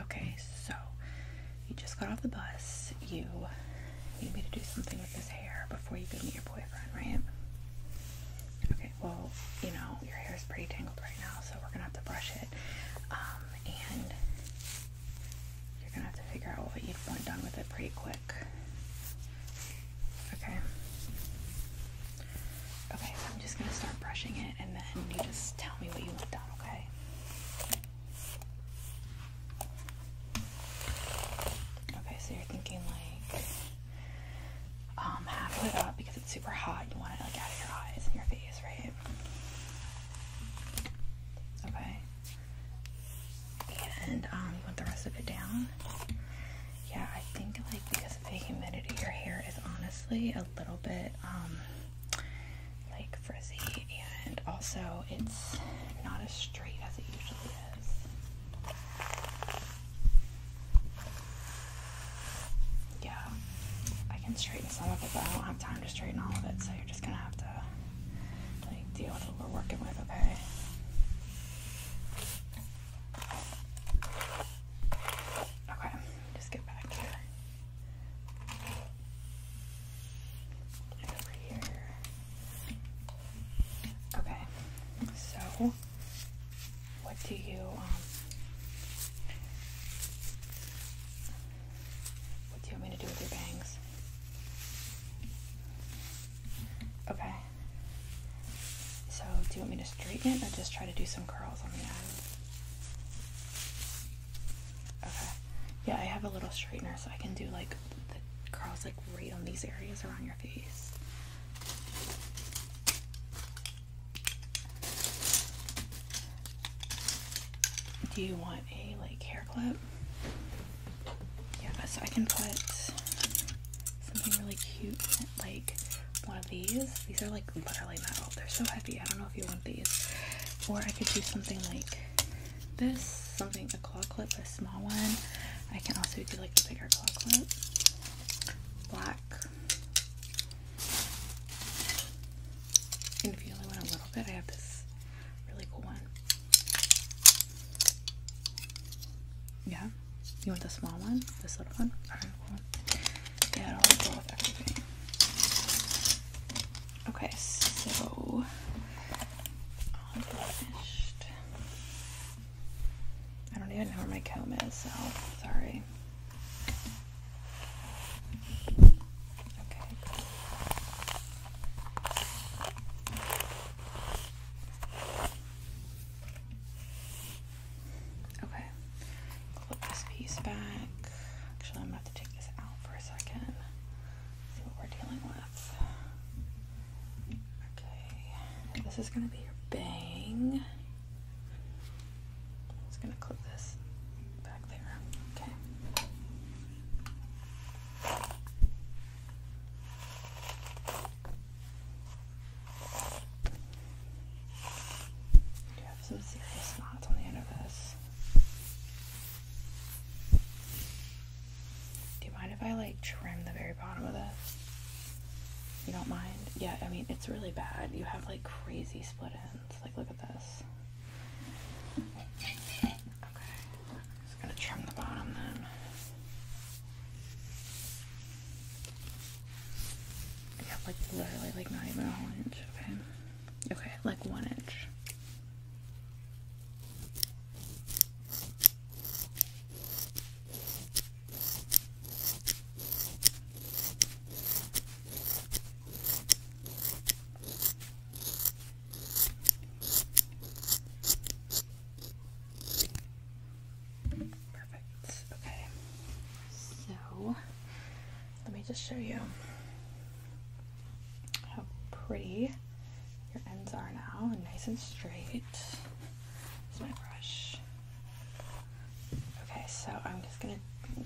Okay, so you just got off the bus. You need me to do something with this hair before you go meet your boyfriend, right? Okay, well, you know, your hair is pretty tangled right now, so we're gonna have to brush it. Um, and you're gonna have to figure out what you'd want done with it pretty quick. Okay. Okay, I'm just gonna start brushing it and then you just tell me what you want done, okay? Okay. so you're thinking like um, half halfway up because it's super hot. You want it like out of your eyes and your face, right? Okay. And um, you want the rest of it down? Yeah, I think like because of the humidity, your hair is honestly a little bit um, like frizzy, and also it's not as straight as it usually is. Yeah, I can straighten some of it, but I don't have time to straighten all of it, so you're just gonna have to like deal with what we're working with, okay? Okay, just get back here. over here. Okay, so what do you um what do you want me to do with your bangs? Okay. So do you want me to straighten it or just try to do some curls on the ends? Okay. Yeah, I have a little straightener so I can do like the curls like right on these areas around your face. Do you want a like hair clip? Yeah, so I can put something really cute like one of these. These are like literally metal. They're so heavy. I don't know if you want these. Or I could do something like this, something a claw clip, a small one. I can also do like a bigger claw clip. Black. And if you only want a little bit, I have this really cool one. Yeah. You want the small one? This little one? Alright, well, Okay, so all finished. I don't even know where my comb is, so sorry. Okay. Okay. Clip this piece back. Actually, I'm gonna take this out for a second. See what we're dealing with. Okay. This is gonna be your bang. just gonna clip this back there. Okay. Do have some serious knots on the end of this. Do you mind if I like trim the very bottom of this? You don't mind? Yeah, I mean, it's really bad. You have like crazy split ends. Like, look at this. Okay. just gonna trim the bottom then. Yeah, like literally like not even a whole inch, okay? Okay, like one inch. Perfect. Okay. So let me just show you how pretty your ends are now, and nice and straight. It's my brush. Okay, so I'm just gonna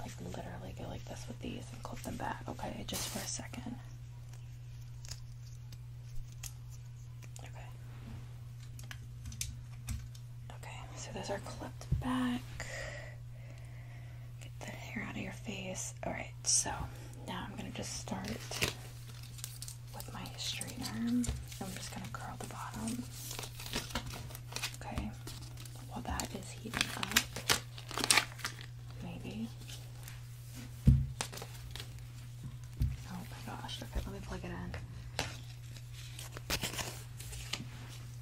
like literally go like this with these and clip them back, okay, just for a second. Okay. Okay, so those are clipped back. Get the hair out of your face. Alright, so now I'm going to just start with my straightener. I'm just going to curl the bottom. Okay, while that is heating up, maybe Oh my gosh. Okay, let me plug it in.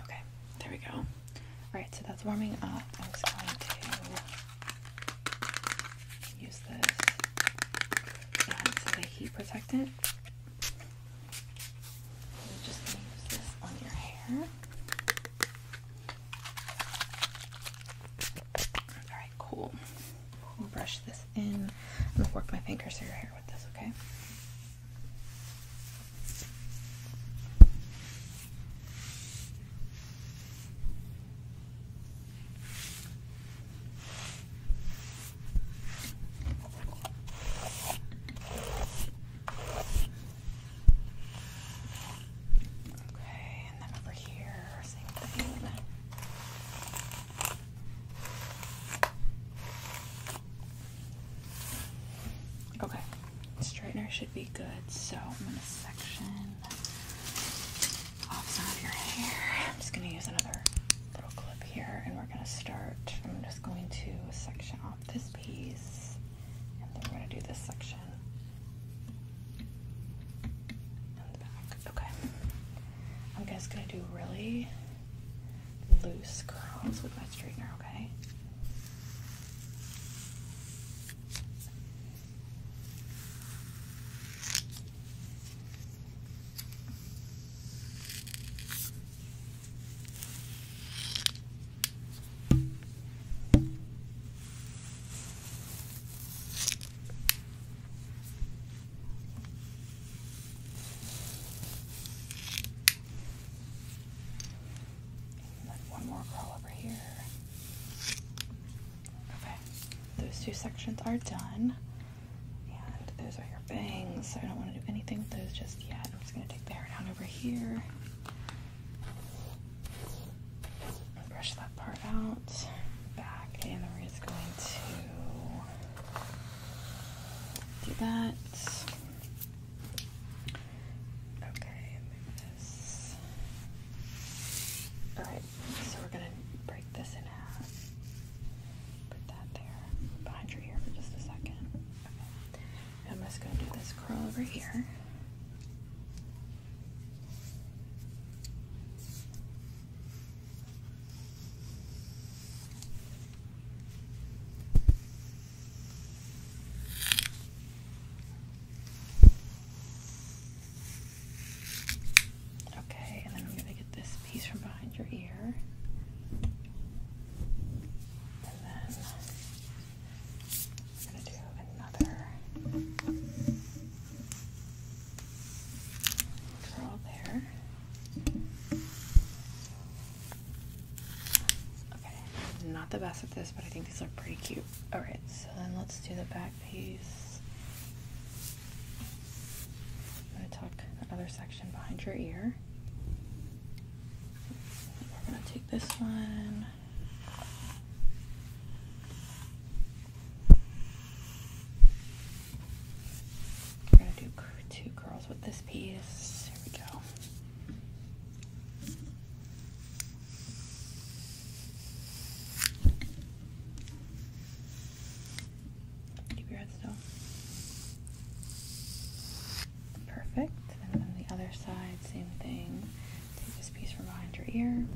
Okay, there we go. Alright, so that's warming up. I'm just going to use this heat protectant. just use this on your hair. Alright, cool brush this in. I'm gonna work my fingers through your hair with this, Okay. Okay, straightener should be good, so I'm gonna section off some of your hair. I'm just gonna use another little clip here, and we're gonna start. I'm just going to section off this piece, and then we're gonna do this section. Okay. I'm just gonna do really loose curls with my straightener, Okay one more curl over here. Okay, those two sections are done. And those are your bangs. I don't want to do anything with those just yet. I'm just going to take that hair down over here. Brush that part out, back, and we're just going to do that. Okay, move this. Alright, so we're gonna break this in half. Put that there behind your ear for just a second. Okay. I'm just going to do this curl over here. Okay, and then I'm going to get this piece from behind your ear. And then I'm going to do another curl there. Okay, not the best at this, but I think these look pretty cute. Alright, so then let's do the back piece. I'm going to tuck the other section behind your ear. We're going to take this one. We're going to do two curls with this piece. Here we go. Keep your head still. Perfect. And then the other side, same thing. Take this piece from behind your ear.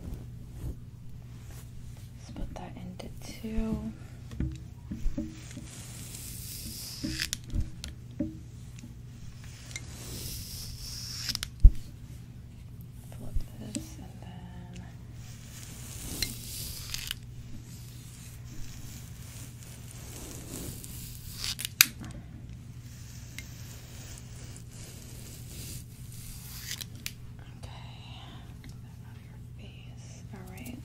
Split that into two. Flip this and then your face. All right.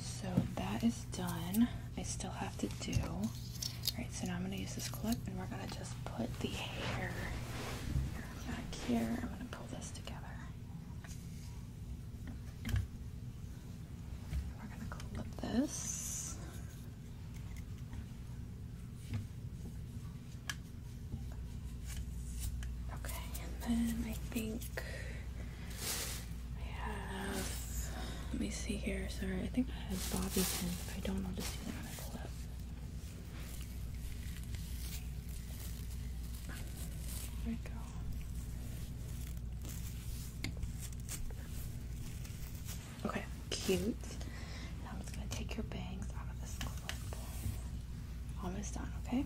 So that is done. I still have to do. All right. So now I'm gonna use this clip, and we're gonna just put the hair back here. I'm gonna pull this together. We're going to call this. Okay, and then I think I have, let me see here, sorry, I think I have bobby pins. If I don't, know if just do that on a clip. There we go. Okay, cute. Now I'm just gonna take your bangs out of this clip. Almost done, okay?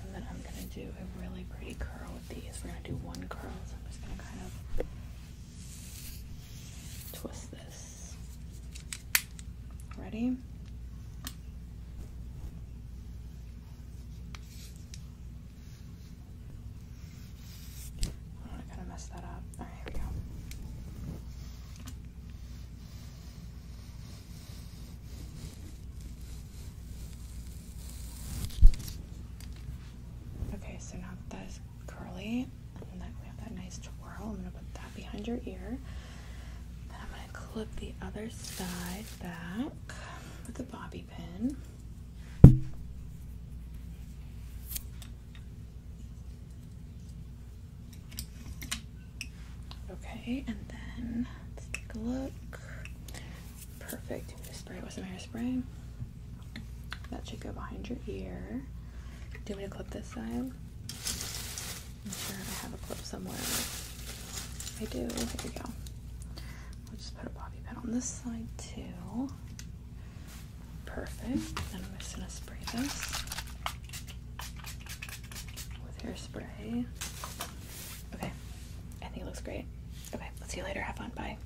And then I'm gonna do a really pretty curl with these. We're gonna do one curl, so I'm just gonna kind of twist this. Ready? I'm to kind of mess that up. All right, here we go. Okay, so now that is curly, we have that nice twirl. I'm gonna put that behind your ear. Then I'm gonna clip the other side back with the bobby pin. Okay, and then let's take a look. Perfect. Spray it with some hairspray. That should go behind your ear. Do we want me clip this side? I'm sure I have a clip somewhere. I do. Here we go. We'll just put a bobby pin on this side too. Perfect. Then I'm just gonna spray this with hairspray. Okay. I think it looks great. Okay, let's see you later. Have fun. Bye.